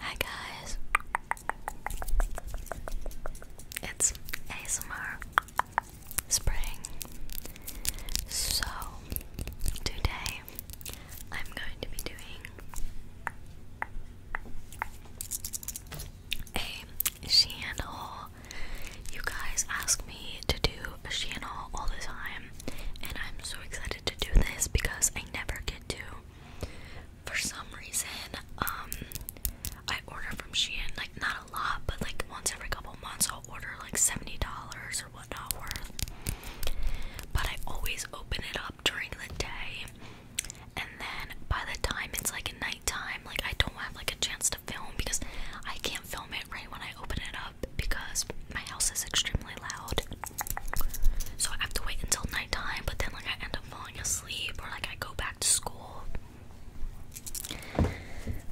Hi guys, it's ASMR Spring. So, today I'm going to be doing a Shein You guys ask me to do a Shein all the time and I'm so excited to do this because I never get to. For some reason, um, I order from Shein like not a lot, but like once every couple months I'll order like seventy dollars or whatnot worth. But I always open it up during the day, and then by the time it's like nighttime, like I don't have like a chance to film because I can't film it right when I open it up because my house is extremely loud. So I have to wait until nighttime, but then like I end up falling asleep or like I go back to school.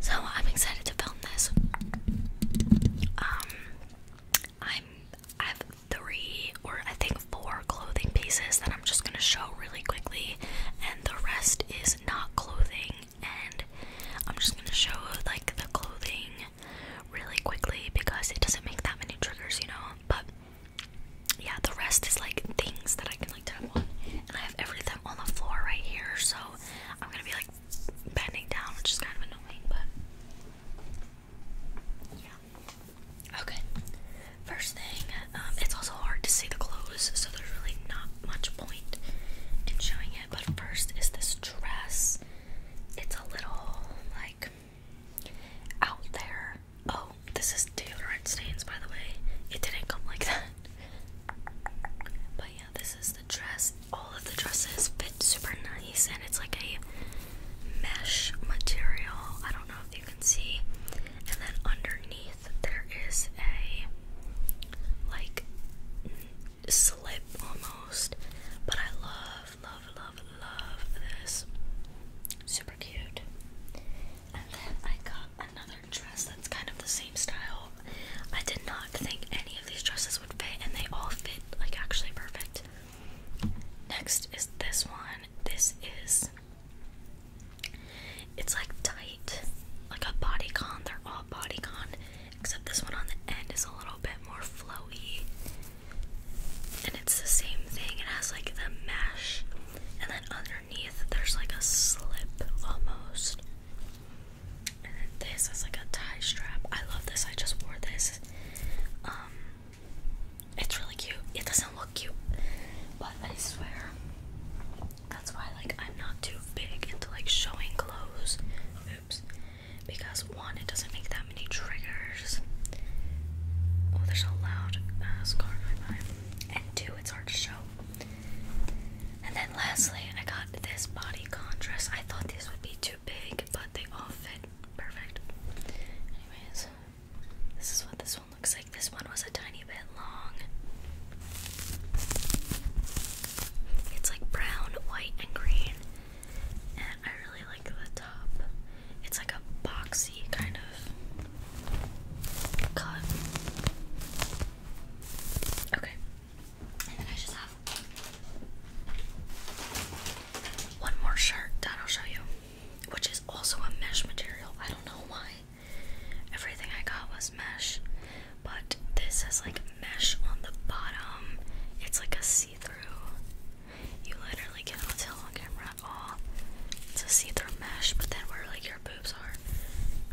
So I'm excited to film this. Um I'm I have three or I think four clothing pieces that I'm just gonna show really quickly and the rest is not clothing and I'm just gonna show like the clothing really quickly because it doesn't make that many triggers, you know. But yeah, the rest is like things that I can like tap and I have everything on the floor right here, so I'm gonna be like bending down, which is kind of annoying, but yeah. Okay, first thing, um, it's also hard to see the clothes, so there's really not much point in showing it but first is this dress. It's a little like out there. Oh, this is deodorant stains, by the way. It didn't come like that. But yeah, this is the dress. All of the dresses fit super nice, and it's like a mesh material. I don't know if you can see. And then underneath, there is a like slip almost. But I love, love, love, love this. Super cute. And then I got another dress that's kind of the same style. I did not think any of these dresses would fit, and they all fit like actually perfect. Next is this one. This is. It's like tight, like a body con. They're all body con except this one on the end is a little bit more flowy. And it's the same thing. It has like the mesh, and then underneath there's like a slip almost. And then this is like a tie strap. I love this. I just wore this. Um, it's really cute. It doesn't look cute, but I swear that's why like I'm not too big into like showing clothes. Oops because one, it doesn't make that many triggers. Oh, there's a loud uh, scar by And two, it's hard to show. And then lastly, I got this body contrast. I thought this would be too big, but they all fit perfect. Anyways, this is what this one looks like. This one was a tiny bit long. It's like brown, white, and green. I really like the top. It's like a boxy kind of cut. Okay. And then I just have one more shirt I'll show you, which is also a mesh material. I don't know why. Everything I got was mesh. But this is like mesh on the bottom. It's like a see-through. You literally cannot tell on camera at all. It's a see-through mesh, but then where like your boobs are,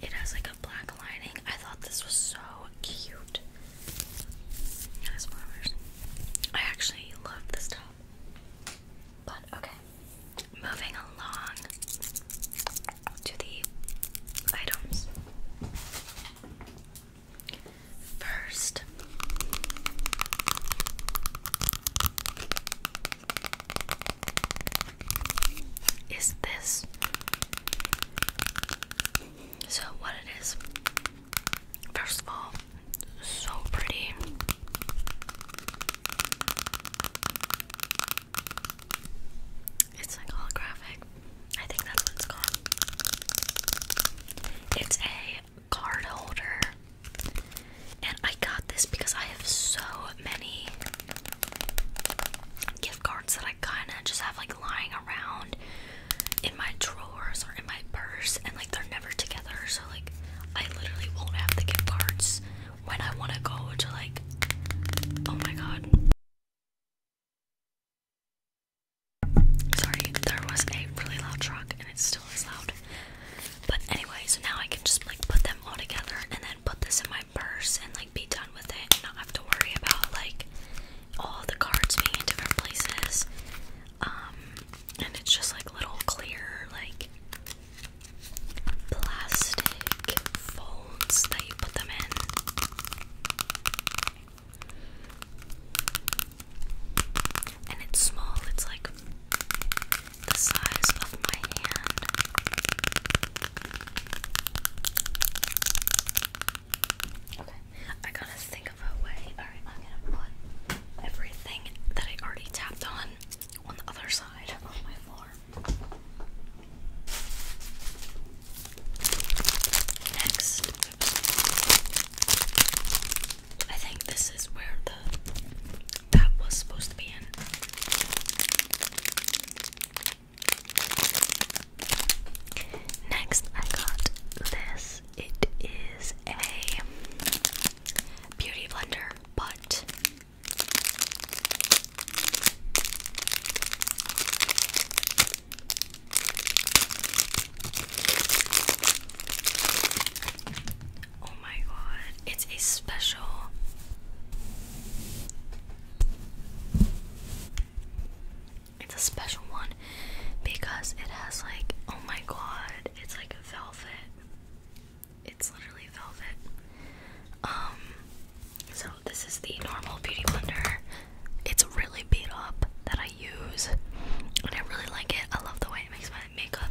it has like a black lining. I thought this was so cute. I actually love this top. But okay. Moving along to the items. First, is this so? What it is, first of all, so pretty. It's holographic. I think that's what called. It's a card holder. And I got this because I have so many gift cards that I kind of just have like lying around in my drawers or in my purse and like they're never together. So like I literally won't have the gift cards when I want to go to like, oh my god. Sorry, there was a really loud truck and it still is loud. But anyway, so now I can just like put them all together and then put this in my purse and like be done with it and not have to worry about like all the cards being in different places. Um, and it's just like little clear, like plastic pink that you put them in. And it's small, it's like the size of my hand. Okay, I gotta think of a way. Alright, I'm gonna put everything that I already tapped on on the other side of my floor. Next, I think this is where the that was supposed to be in. Next, I got this. It is a beauty blender, but Oh my god, it's a special. It's a special one because it has like, oh my god, it's like velvet. It's literally velvet. Um, so this is the normal beauty blender. It's really beat up that I use, and I really like it. I love the way it makes my makeup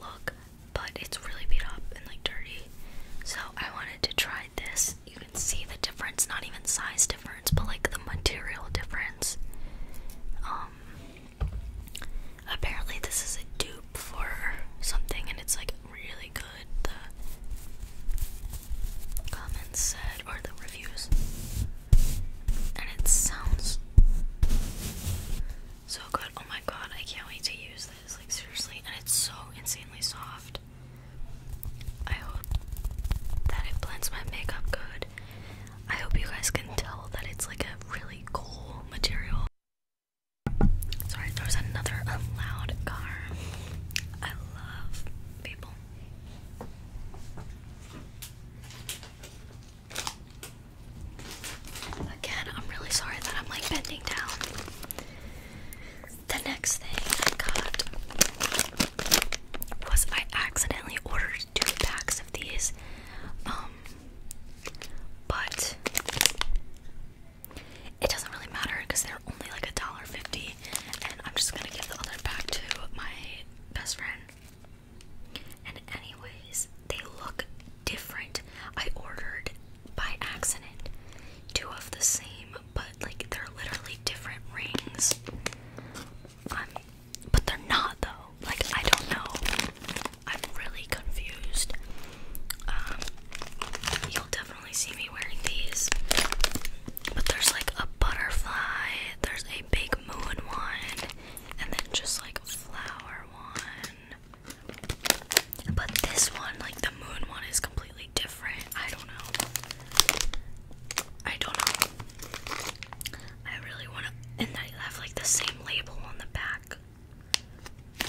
look, but it's really beat up and like dirty. So I wanted to try this. You can see the difference, not even size difference, but like the material difference. Um, apparently this is a dupe for something, and it's like really good the comments said or the reviews and it sounds so good oh my god I can't wait to use this like seriously and it's so insanely soft I hope that it blends my makeup good I hope you guys can tell that it's like a really cool material Sorry, there was another allowed car. I love people. Again, I'm really sorry that I'm like bending down. The next thing I got was I accidentally ordered two packs of these. Um, but it doesn't really matter because they're only like a dollar fifty, and I'm just gonna give the other back to my best friend. And anyways, they look different. I ordered by accident two of the same, but like they're literally different rings. Um, but they're not though. Like I don't know. I'm really confused. Um, you'll definitely see me wearing these. But there's like a butterfly, there's a big moon one, and then just like a flower one. But this one, like the moon one, is completely different. I don't know. I don't know. I really want to. And I have like the same label on the back. I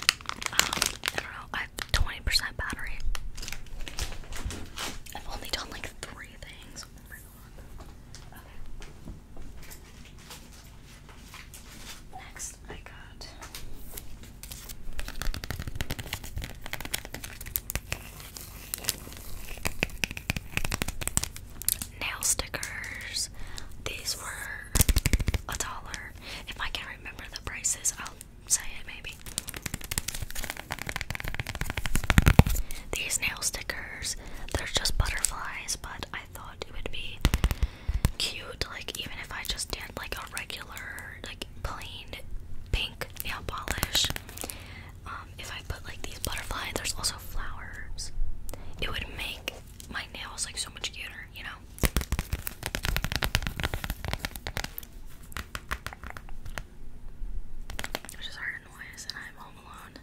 don't know. I have 20% battery. I've only done like three things. Oh Next, I got. Nail stickers. These were a dollar. If I can remember the prices, I'll say it maybe. These nail stickers, they're just butterflies, but I thought it would be cute, like even if I just did like a regular, like plain pink nail polish. Um, if I put like these butterflies, there's also flowers. It would make my nails like so much cuter, you know? I just heard a and I'm home alone.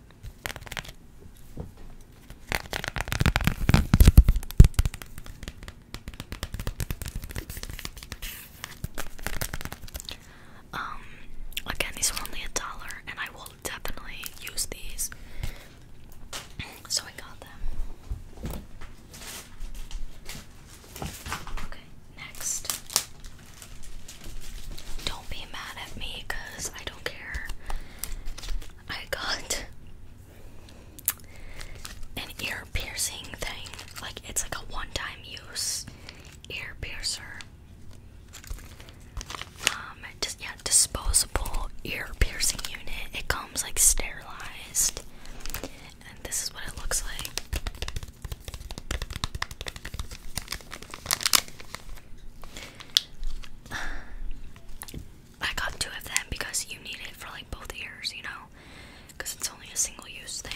Um, again, these are only a dollar, and I will definitely use these. So I got them. Okay, next. Don't be mad at me because I don't care. I got an ear piercing thing. Like, it's like a one time use ear piercer. Um, just, yeah, disposable ear piercing unit. It comes like sterilized. And this is what it looks like. I got two of them because you need it for like both ears, you know? Because it's only a single use thing.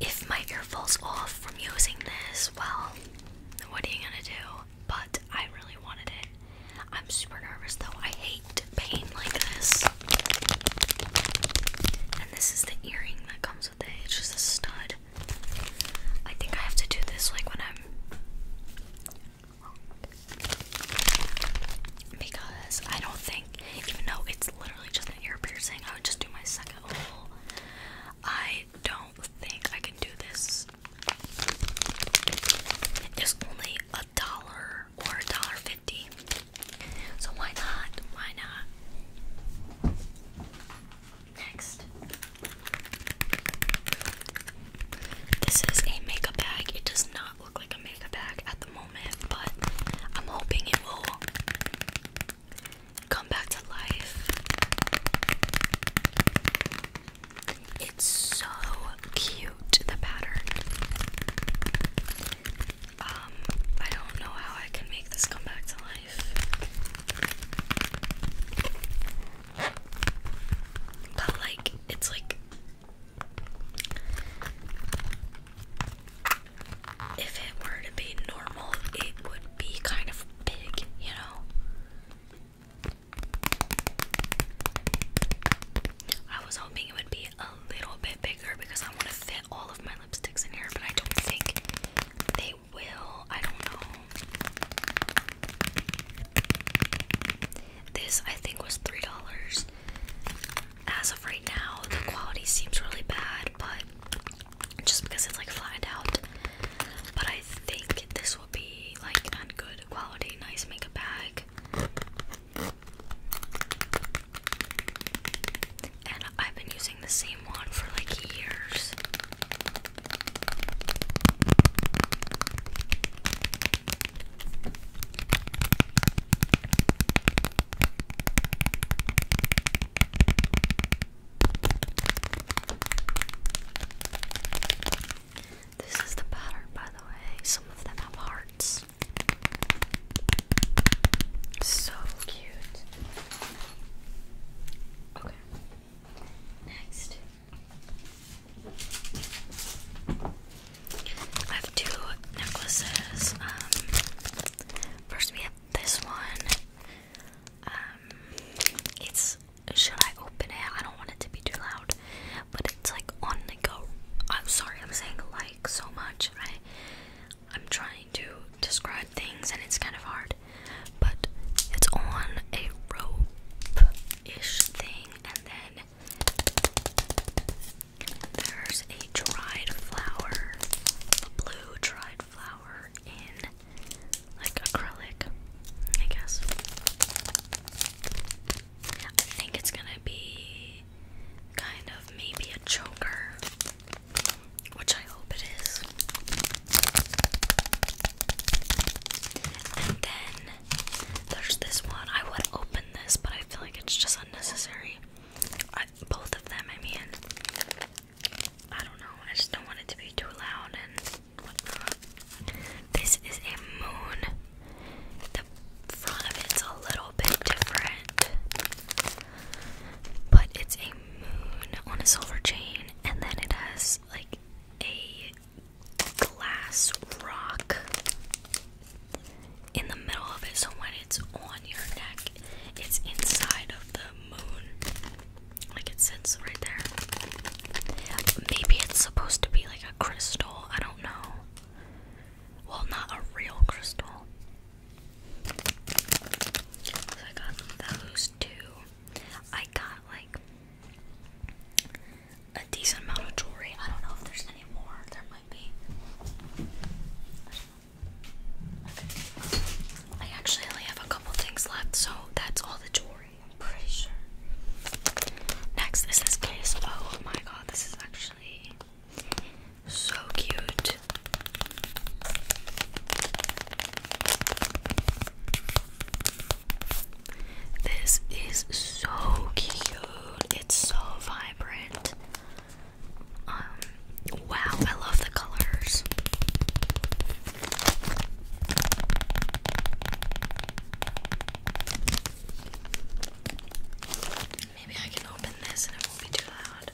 If my ear falls off from using this, well, what are you gonna do? but I really wanted it. I'm super nervous though. I hate pain like this. And this is the earring that comes with it. It's just a stud. I think I have to do this like when I'm because I don't think, even though it's literally just an ear piercing, I would just do my second hole. I don't don't think I can do this. It's only a dollar or a dollar fifty. So why not? Why not? Next. This is a makeup bag. It does not look like a makeup bag at the moment, but I'm hoping it will come back to life. It's so cute, the pattern. Um, I don't know how I can make this come back to life. But, like, it's like. If it were to be normal, it would be kind of big, you know? I was hoping it would be a little bit bigger because I want to fit all of my lipsticks in here, but I don't think they will. I don't know. This I think was three dollars. As of right now, the quality seems really bad, but just because it's like flattened out. But I think this will be like on good quality, nice makeup bag. And I've been using the same one for like years. This is the pattern, by the way. Some of them have hearts. So cute. Okay. Next. I have two necklaces. Um, first we have this one. Um, it's should I open it? I don't want it to be too loud, but it's like on the go. I'm sorry, I'm saying like so much. I I'm trying to describe things and it's kind of hard, but it's on a rope-ish thing, and then there's a dried flower, a blue dried flower in like acrylic, I guess. I think it's gonna be kind of maybe a choker, which I hope it is. And then there's this one. I would open this, but I feel like it's just unnecessary. both of them, I mean. I don't know. I just don't want it to be too loud and This is a moon. The front of it's a little bit different, but it's a moon on a silver chain, and then it has like a glass rock in the middle of it. So when it's on your neck, it's inside of the moon. Like it sits right there. Maybe it's supposed to be like a crystal. I don't know. Well, not a real crystal. So I got those two. I got like a decent amount of jewelry. I don't know if there's any more. There might be. I actually only have a couple things left, so that's all the jewelry. I'm pretty sure. Next is this case. Oh my god, this is actually so cute. This is so cute. It's so vibrant. Um, Wow, I love the colors. Maybe I can open this and it won't be too loud.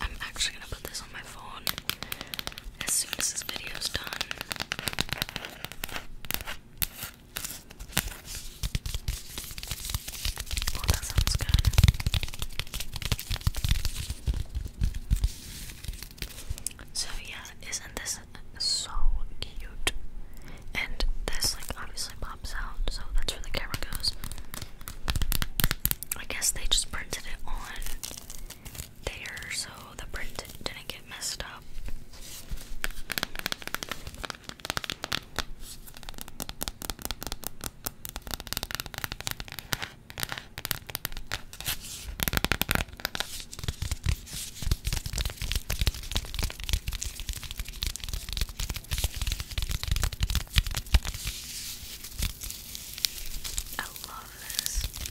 I'm actually going to put this on my phone as soon as this video done. Oh, so yeah, isn't this so cute? And this like obviously pops out, so that's where the camera goes. I guess they just printed it on there so the print didn't get messed up. I love this.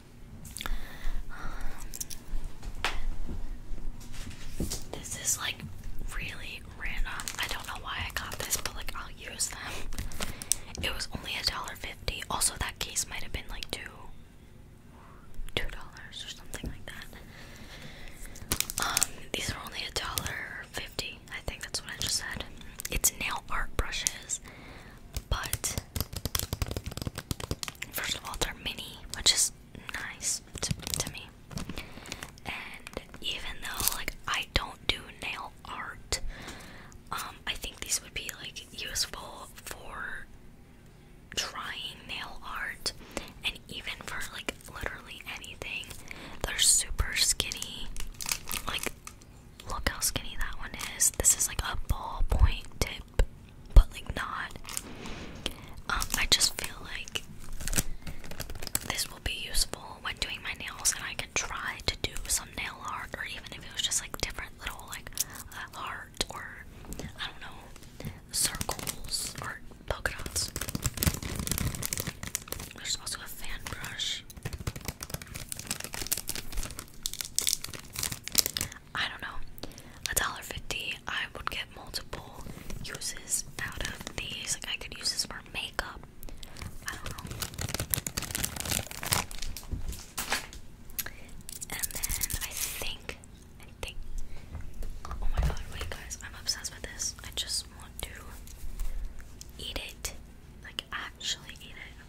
this is like really random. I don't know why I got this, but like I'll use them. It was only a dollar fifty. Also, that case might have been like two, two dollars or something like that. Um, these are only a dollar fifty. I think that's what I just said. It's nail art brushes, but First of all, they're mini, which is nice to, me. And even though like I don't do nail art, um, I think these would be like useful for trying nail art and even for like literally anything. They're super skinny. Like look how skinny that one is. This is like a ballpoint tip but like not. Um, I just feel like this will be useful when doing my nails, and I could try to do some nail art, or even if it was just like different little like uh, or I don't know circles or polka dots. There's also a fan brush. I don't know, a dollar fifty. I would get multiple uses out of these. Like I could use this for makeup. I don't know. And then I think, I think. Oh my god! Wait, guys, I'm obsessed with this. I just want to eat it. Like actually eat it.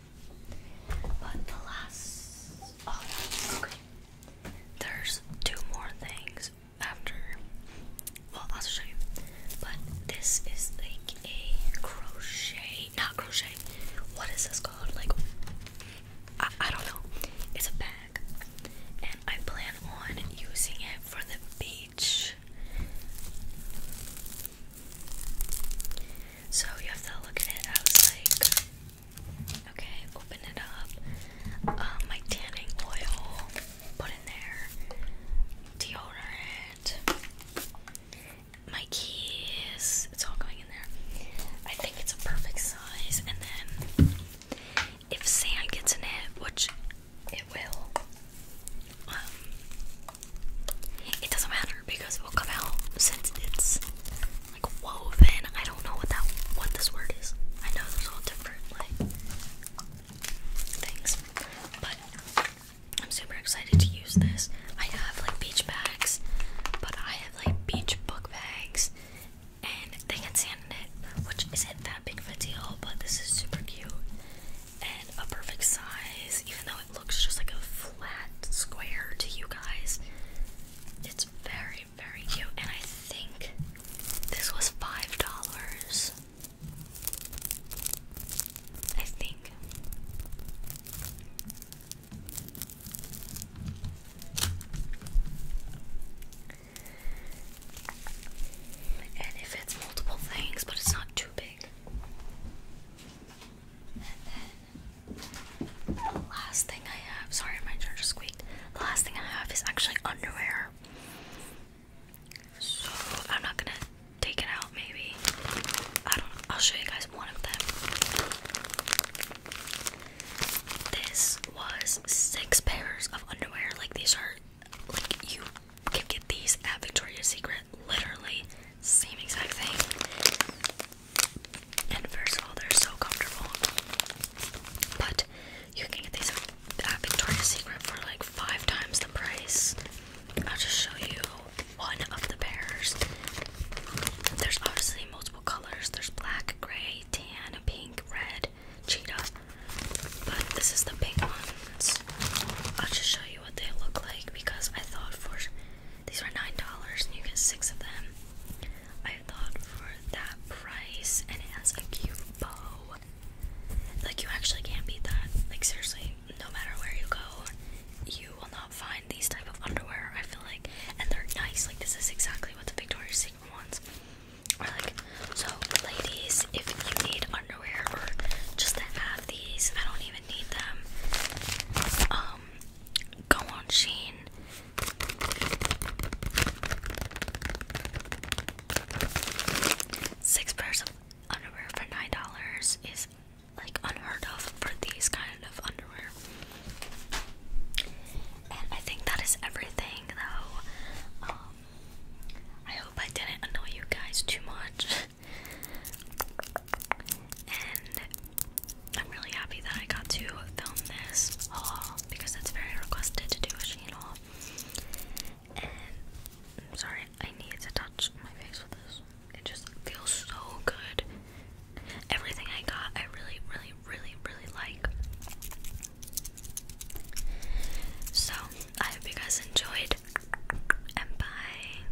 But the last oh that's There's two more things after well I'll show you. But this is like a crochet not crochet. What is this called? Like I, I don't know. It's a bag. And I plan on using it for the beach. So you have to look at it as like Okay, open it up. Um, my tanning oil, put in there. Deodorant. My keys. It's all going in there. I think it's a perfect size. And then if sand gets in it, which it will, um, it doesn't matter because it will come out since it's like woven. I don't know what that what this word is. I know there's all different like things, but I'm super excited to use this. I have like beach bags, but I have like beach book bags, and they get sand in it, which isn't that big of a deal. But this is super cute and a perfect size, even though it looks just like a flat square to you guys. It's very, very cute, and I think this was five dollars. I think. And it fits multiple things, but it's not too big. The last thing I have, sorry, my charger squeaked. The last thing I have is actually underwear. So I'm not gonna take it out, maybe. I don't know. I'll show you guys one of them. This was six pairs of underwear. Like, these are, like, you can get these at Victoria's Secret. Literally, same exact thing. And first of all, they're so comfortable. But you can get these at Victoria's Secret for like five times the price. I'll just show you one of the pairs. There's obviously multiple colors. There's black, gray, tan, pink, red, cheetah. But this is the pink ones. I'll just show you what they look like because I thought for these were nine dollars, and you get six of them. I thought for that price, and it has a cute bow. Like you actually can't beat that. Like seriously, no matter where you go, you will not find these type of underwear. I feel like, and they're nice. Like this is exactly what the Victoria's Secret wants. Or like, so ladies, if you need underwear or just to have these, I don't even need them. Um, go on Sheen. Six pairs of underwear for nine dollars is like unheard of for these kind of underwear. And I think that is everything though. Um, I hope I didn't annoy you guys too much. and I'm really happy that I got to film this haul because that's very requested to do a Shein haul. And i sorry, I need to touch my face with this. It just feels so good. Everything I got, I really, really, really, really like. So, I hope you guys enjoyed, and bye.